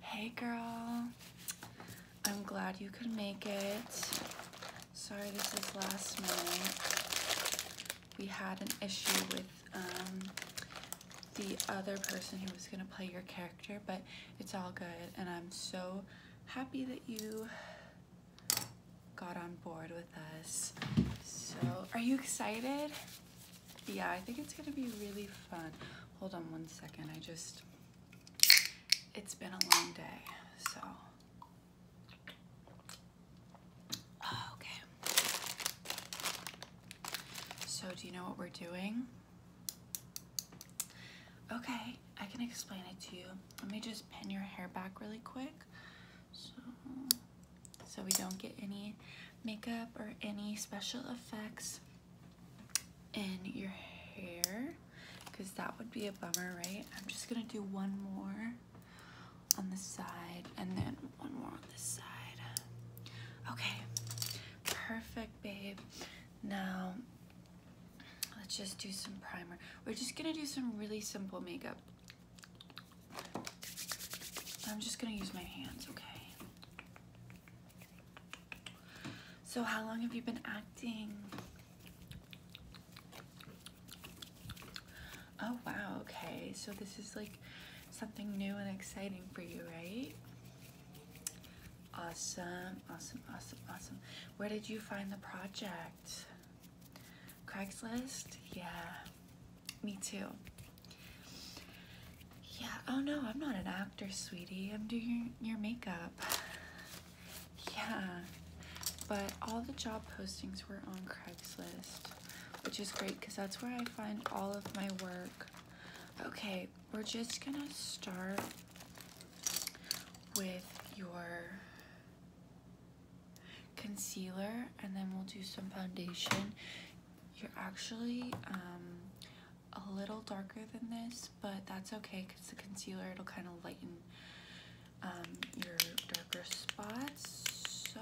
Hey girl, I'm glad you could make it. Sorry this is last minute. We had an issue with um, the other person who was gonna play your character, but it's all good and I'm so happy that you got on board with us. So, are you excited? yeah, I think it's gonna be really fun. Hold on one second, I just, it's been a long day, so. Oh, okay. So do you know what we're doing? Okay, I can explain it to you. Let me just pin your hair back really quick. So, so we don't get any makeup or any special effects in your hair because that would be a bummer, right? I'm just gonna do one more on the side and then one more on this side. Okay, perfect, babe. Now, let's just do some primer. We're just gonna do some really simple makeup. I'm just gonna use my hands, okay? So how long have you been acting? Oh wow, okay. So this is like something new and exciting for you, right? Awesome, awesome, awesome, awesome. Where did you find the project? Craigslist? Yeah, me too. Yeah, oh no, I'm not an actor, sweetie. I'm doing your, makeup. yeah, but all the job postings were on Craigslist, which is great because that's where I find all of my work. Okay, we're just gonna start with your concealer and then we'll do some foundation. You're actually, um, a little darker than this, but that's okay because the concealer, it'll kind of lighten um, your darker spots. So,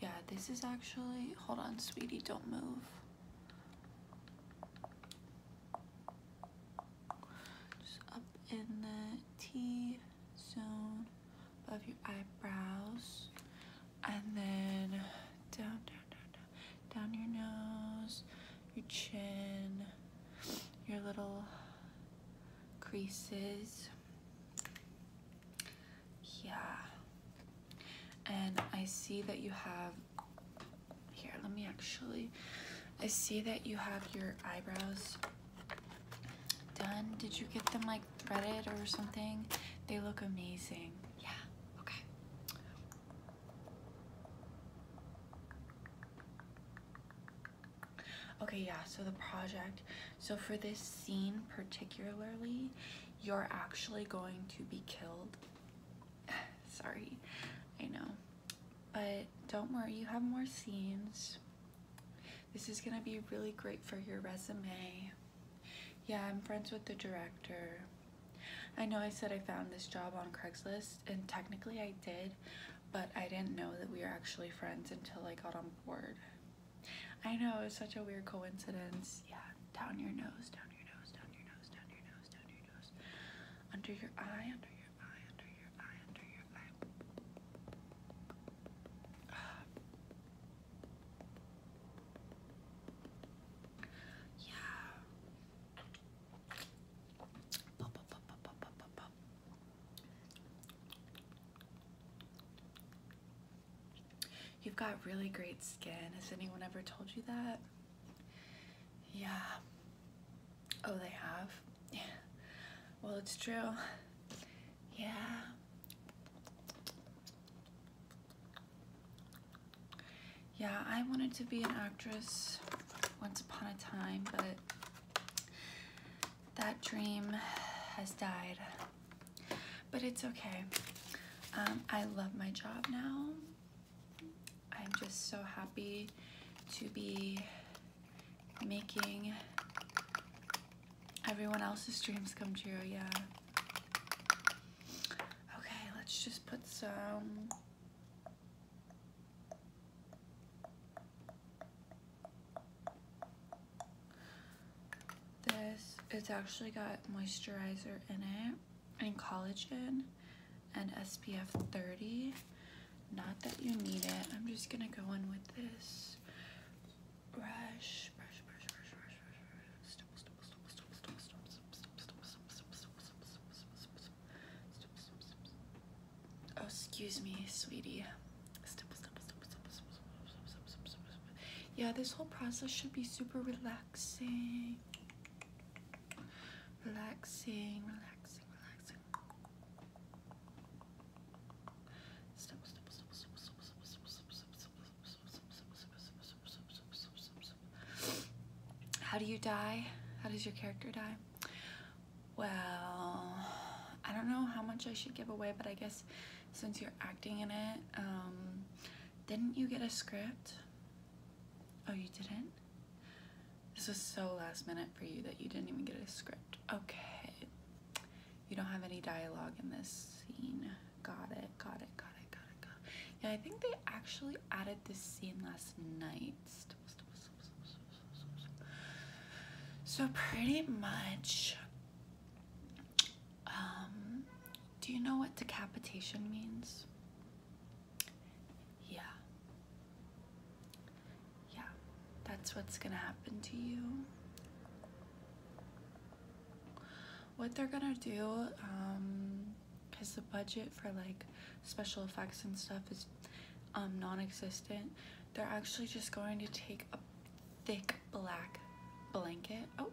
yeah, this is actually, hold on, sweetie, don't move. Just up in the T zone above your eyebrows, and then down, down, down, down, down your nose, your chin, your little creases. Yeah. And I see that you have, here, let me actually, I see that you have your eyebrows done. Did you get them like like Reddit or something. They look amazing. Yeah, okay. Okay, yeah, so the project. So for this scene particularly, you're actually going to be killed. Sorry, I know. But don't worry, you have more scenes. This is gonna be really great for your resume. Yeah, I'm friends with the director. I know I said I found this job on Craigslist, and technically I did, but I didn't know that we were actually friends until I got on board. I know, it's such a weird coincidence. Yeah, down your nose, down your nose, down your nose, down your nose, down your nose. Under your eye, under your eye, under your eye, under your eye. Yeah. Pop, pop, pop, pop, pop, pop, pop. You've got really great skin. Has anyone ever told you that? Yeah. Oh, they have? Yeah. Well, it's true. Yeah. Yeah, I wanted to be an actress once upon a time, but that dream has died. But it's okay. Um, I love my job now. I'm just so happy to be making everyone else's dreams come true, yeah. Okay, let's just put some this it's actually got moisturizer in it and collagen and SPF 30 not that you need it I'm just gonna go in with this Oh, excuse me, sweetie. Yeah, this whole process should be super relaxing. Relaxing, relaxing, relaxing. How do you die? How does your character die? Well, I don't know how much I should give away, but I guess since you're acting in it, um, didn't you get a script? Oh, you didn't? This was so last minute for you that you didn't even get a script. Okay. You don't have any dialogue in this scene. Got it, got it, got it, got it, Yeah, I think they actually added this scene last night. So pretty much, um, do you know what decapitation means? Yeah. Yeah, that's what's gonna happen to you what they're gonna do um because the budget for like special effects and stuff is um non-existent they're actually just going to take a thick black blanket oh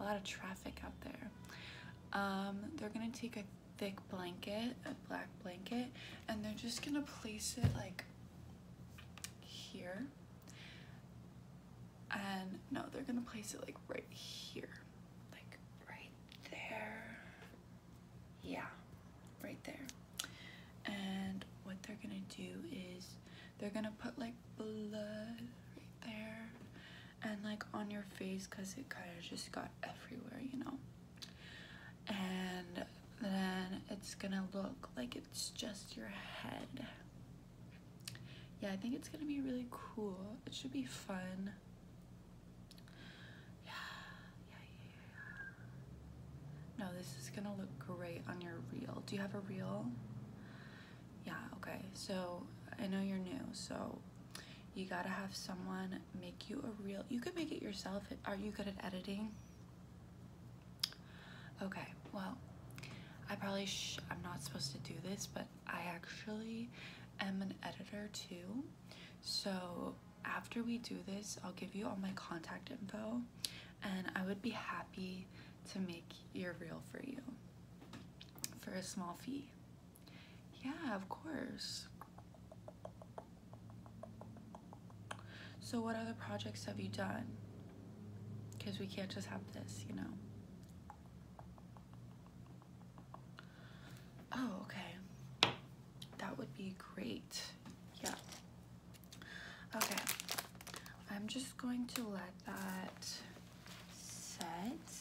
a lot of traffic out there um they're gonna take a thick blanket a black blanket and they're just gonna place it like here and no, they're gonna place it like right here, like right there. Yeah, right there. And what they're gonna do is they're gonna put like blood right there and like on your face because it kind of just got everywhere, you know? And then it's gonna look like it's just your head yeah, I think it's gonna be really cool. It should be fun. Yeah, yeah, yeah. No, this is gonna look great on your reel. Do you have a reel? Yeah, okay. So I know you're new, so you gotta have someone make you a reel. You could make it yourself. Are you good at editing? Okay, well, I probably I'm not supposed to do this, but I actually am an editor too. So after we do this, I'll give you all my contact info and I would be happy to make your reel for you for a small fee. Yeah, of course. So what other projects have you done? Because we can't just have this, you know. Oh, okay. That would be great. Yeah. Okay. I'm just going to let that set.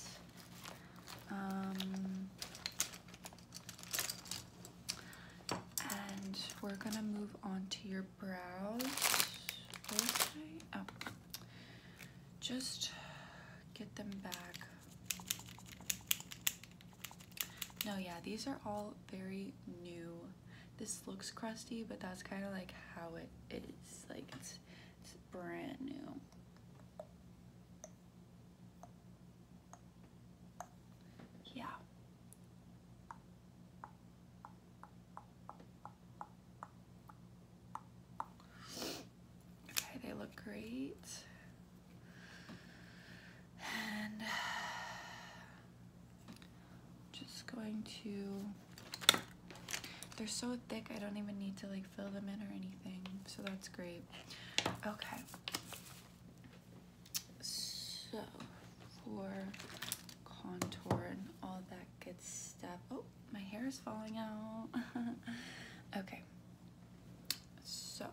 Um, and we're gonna move on to your brows just get them back. No, yeah, these are all very new. This looks crusty, but that's kind of like how it is. Like, it's, brand new. Yeah. Okay, they look great. And just going to, they're so thick I don't even need to like fill them in or anything. So that's great. Okay. So for contour and all that good stuff. Oh, my hair is falling out. okay. So.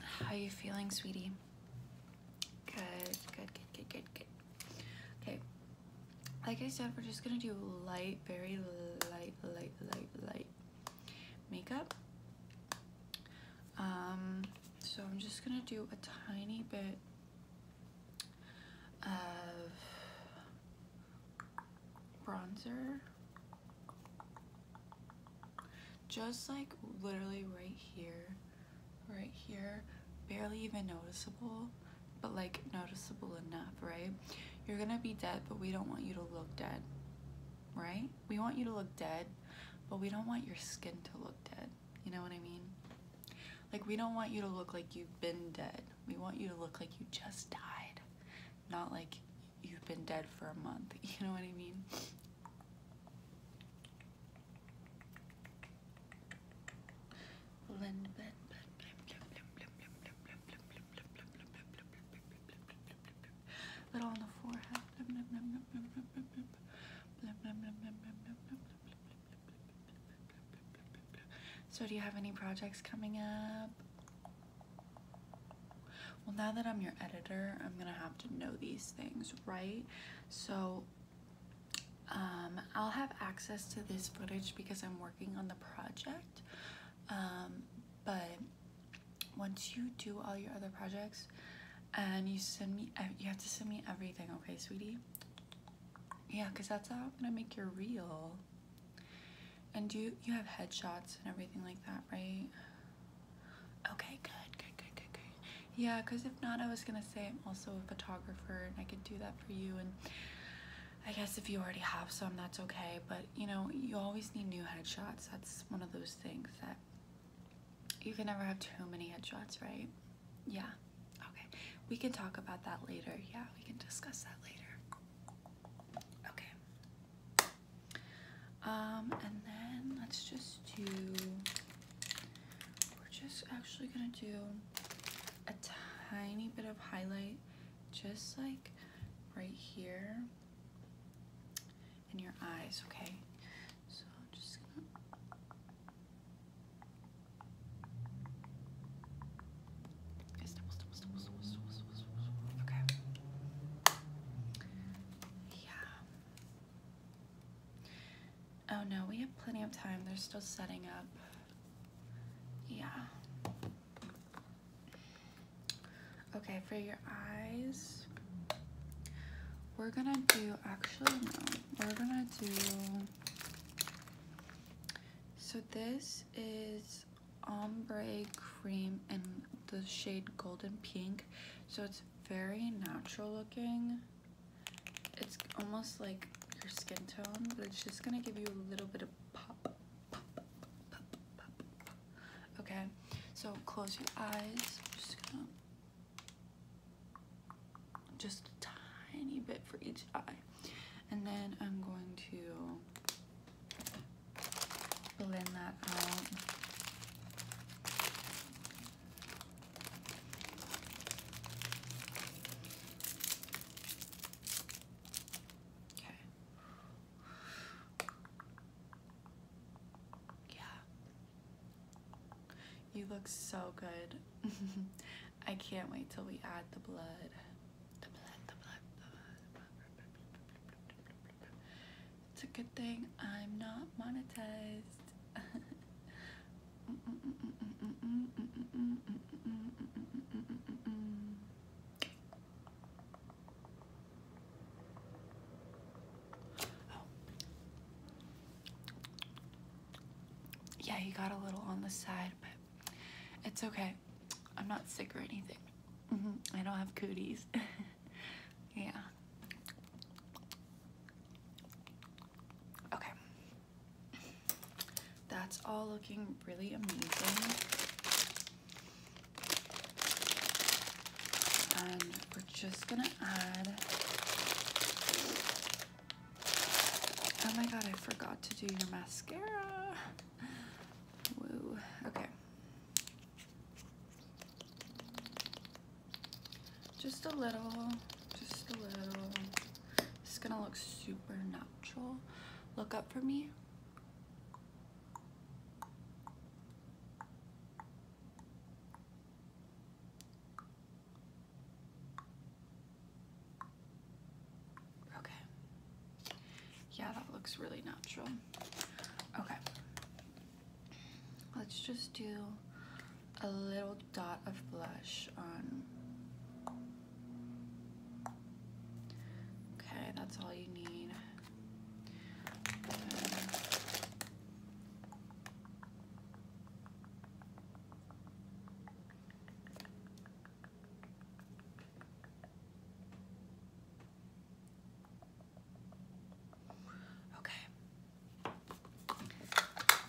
How are you feeling, sweetie? Good, good, good, good, good, good. Okay. Like I said, we're just gonna do light, very light, light, light, light makeup. Um, so I'm just gonna do a tiny bit of bronzer just like literally right here right here barely even noticeable but like noticeable enough right you're gonna be dead but we don't want you to look dead right we want you to look dead but we don't want your skin to look dead you know what I mean like, we don't want you to look like you've been dead. We want you to look like you just died, not like you've been dead for a month. You know what I mean? Blend, blend, blend, blend, so do you have any projects coming up? Well, now that I'm your editor, I'm gonna have to know these things, right? So um, I'll have access to this footage because I'm working on the project. Um, but once you do all your other projects and you send me, uh, you have to send me everything, okay, sweetie? Yeah, because that's how I'm gonna make your reel. And you, you have headshots and everything like that, right? Okay, good, good, good, good, good. Yeah, because if not, I was gonna say I'm also a photographer and I could do that for you. And I guess if you already have some, that's okay. But you know, you always need new headshots. That's one of those things that you can never have too many headshots, right? Yeah. Okay, we can talk about that later. Yeah, we can discuss that later. Okay. Um, and then let's just do. We're just actually gonna do a tiny bit of highlight, just like right here in your eyes. Okay. So I'm just Okay. Yeah. Oh no, we have plenty of time. They're still setting up. Yeah. Okay, for your eyes, we're gonna do, actually, no, we're gonna do so this is ombre cream in the shade golden pink. So it's very natural looking. It's almost like your skin tone, but it's just gonna give you a little bit of pop. Okay, so close your eyes just a tiny bit for each eye. And then I'm going to blend that out. Okay. Yeah. You look so good. I can't wait till we add the blood. It's a good thing I'm not monetized. Oh. Yeah, you got a little on the side, but it's okay. I'm not sick or anything. Mm-hmm. I don't have cooties. yeah. Okay. That's all looking really amazing. And we're just gonna add Oh my god, I forgot to do your mascara. Woo. Okay. Just a little. Just a little. It's gonna look super natural. Look up for me. Okay. Yeah, that looks really natural. Okay. Let's just do a little dot of blush on. Okay, that's all you need. Okay.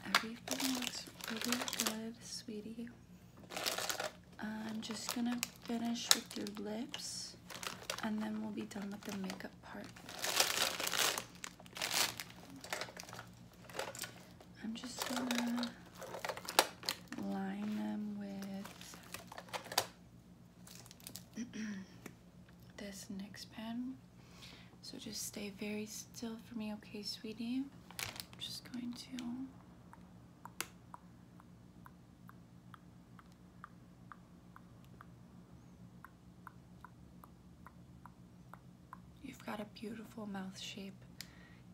Everything looks really good, sweetie. I'm just gonna finish with your lips and then we'll be done with the makeup part. I'm just gonna line them with this next pen. So just stay very still for me, okay, sweetie? I'm just going to You've got a beautiful mouth shape.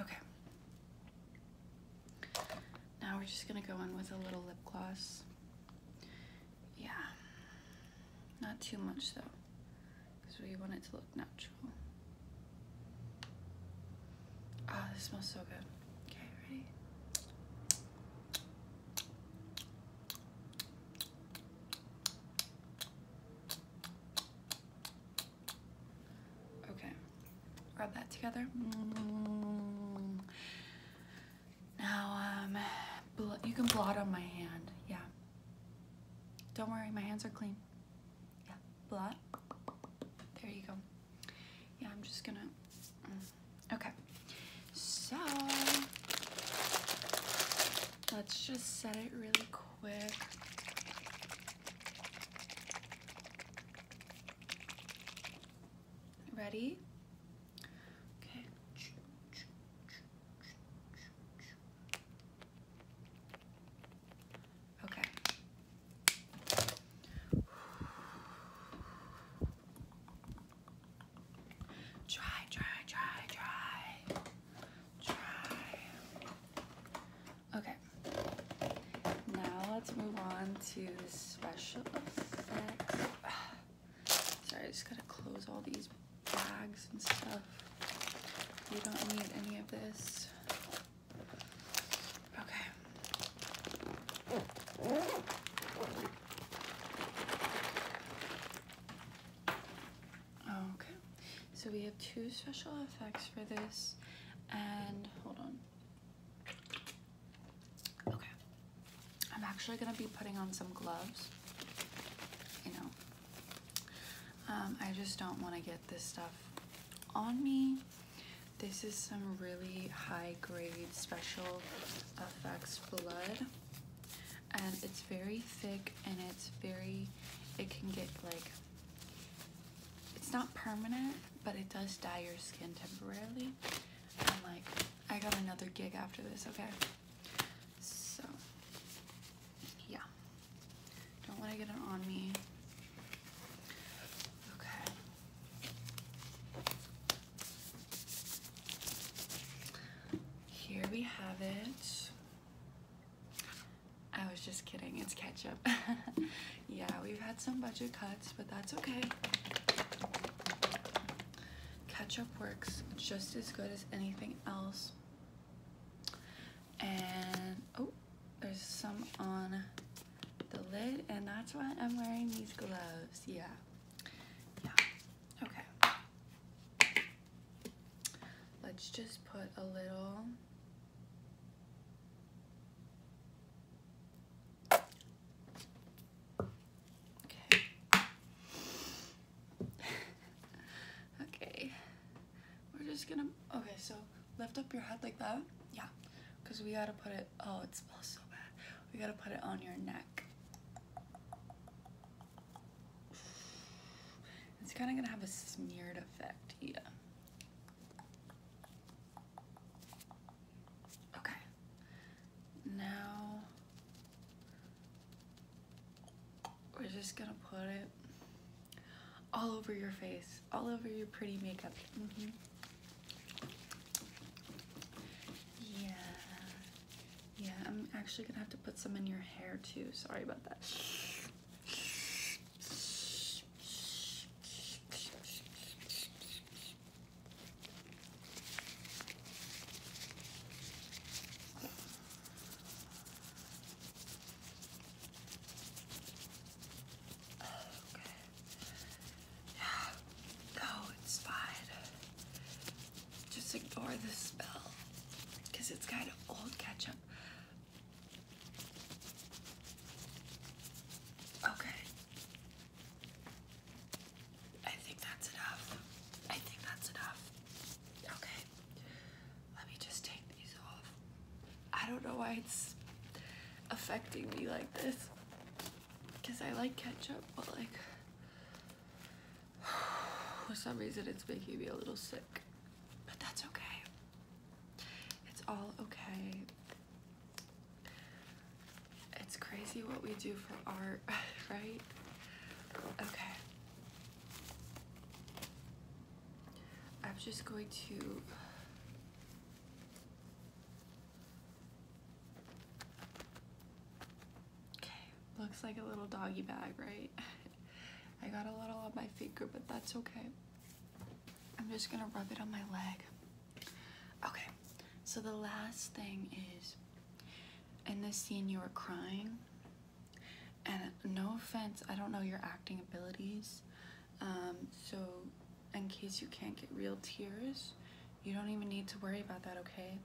Okay. Now we're just gonna go in with a little lip gloss. Yeah. Not too much though, because we want it to look natural. Ah, this smells so good. Okay, ready? Okay, rub that together. Now, um, you can blot on my hand, yeah. Don't worry, my hands are clean. Yeah, blot. There you go. Yeah, I'm just gonna, mm, okay. So, let's just set it really quick. Ready? Okay. Okay. Try, try, try, try. Try. Okay. Now let's move on to special effects. Sorry, I just gotta close all these bags and stuff. You don't need any of this. Okay. Okay. So we have two special effects for this. And hold on. Okay. I'm actually going to be putting on some gloves. You know. Um, I just don't want to get this stuff on me. This is some really high grade special effects blood. And it's very thick and it's very, it can get like it's not permanent, but it does dye your skin temporarily. And like, I got another gig after this, okay? So, yeah. Don't want to get it on me. Okay. Here we have it. I was just kidding, it's ketchup. yeah, we've had some budget cuts, but that's okay. Ketchup works just as good as anything else. And oh, there's some on the lid, and that's why I'm wearing these gloves. Yeah. Yeah. Okay. Let's just put a little Okay. okay. We're just gonna, okay, so lift up your head like that. Yeah, because we gotta put it, oh, it smells so bad. We gotta put it on your neck. It's kind of gonna have a smeared effect, yeah. Okay. Now we're just gonna put it all over your face, all over your pretty makeup. Mm-hmm. Yeah, yeah, I'm actually gonna have to put some in your hair too. Sorry about that. Yeah. No, it's fine. Just ignore the smell because it's kind of old ketchup. Okay. I think that's enough. I think that's enough. Okay. Let me just take these off. I don't know why it's affecting me like this. Because I like ketchup, but like, for some reason it's making me a little sick. But that's okay. It's all okay. It's crazy what we do for art, right? Okay. I'm just going to Okay, looks like a little doggy bag, right? I got a little on my finger, but that's okay. I'm just gonna rub it on my leg. Okay, so the last thing is in this scene you were crying, and no offense, I don't know your acting abilities. Um, so, in case you can't get real tears, you don't even need to worry about that, okay?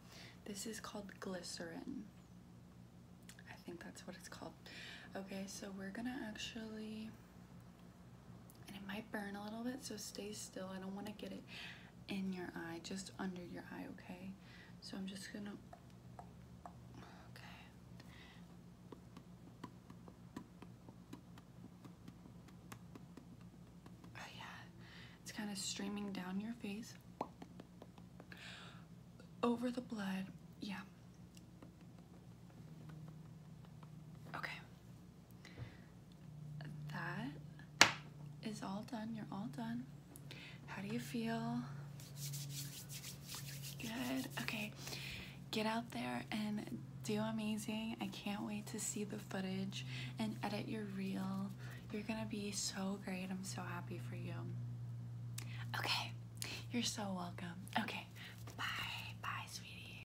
This is called glycerin. I think that's what it's called. Okay, so we're gonna actually and it might burn a little bit so stay still I don't want to get it in your eye just under your eye okay so I'm just gonna okay oh yeah it's kind of streaming down your face over the blood yeah okay that is all done. You're all done. How do you feel? Good. Okay. Get out there and do amazing. I can't wait to see the footage and edit your reel. You're going to be so great. I'm so happy for you. Okay. You're so welcome. Okay. Bye. Bye, sweetie.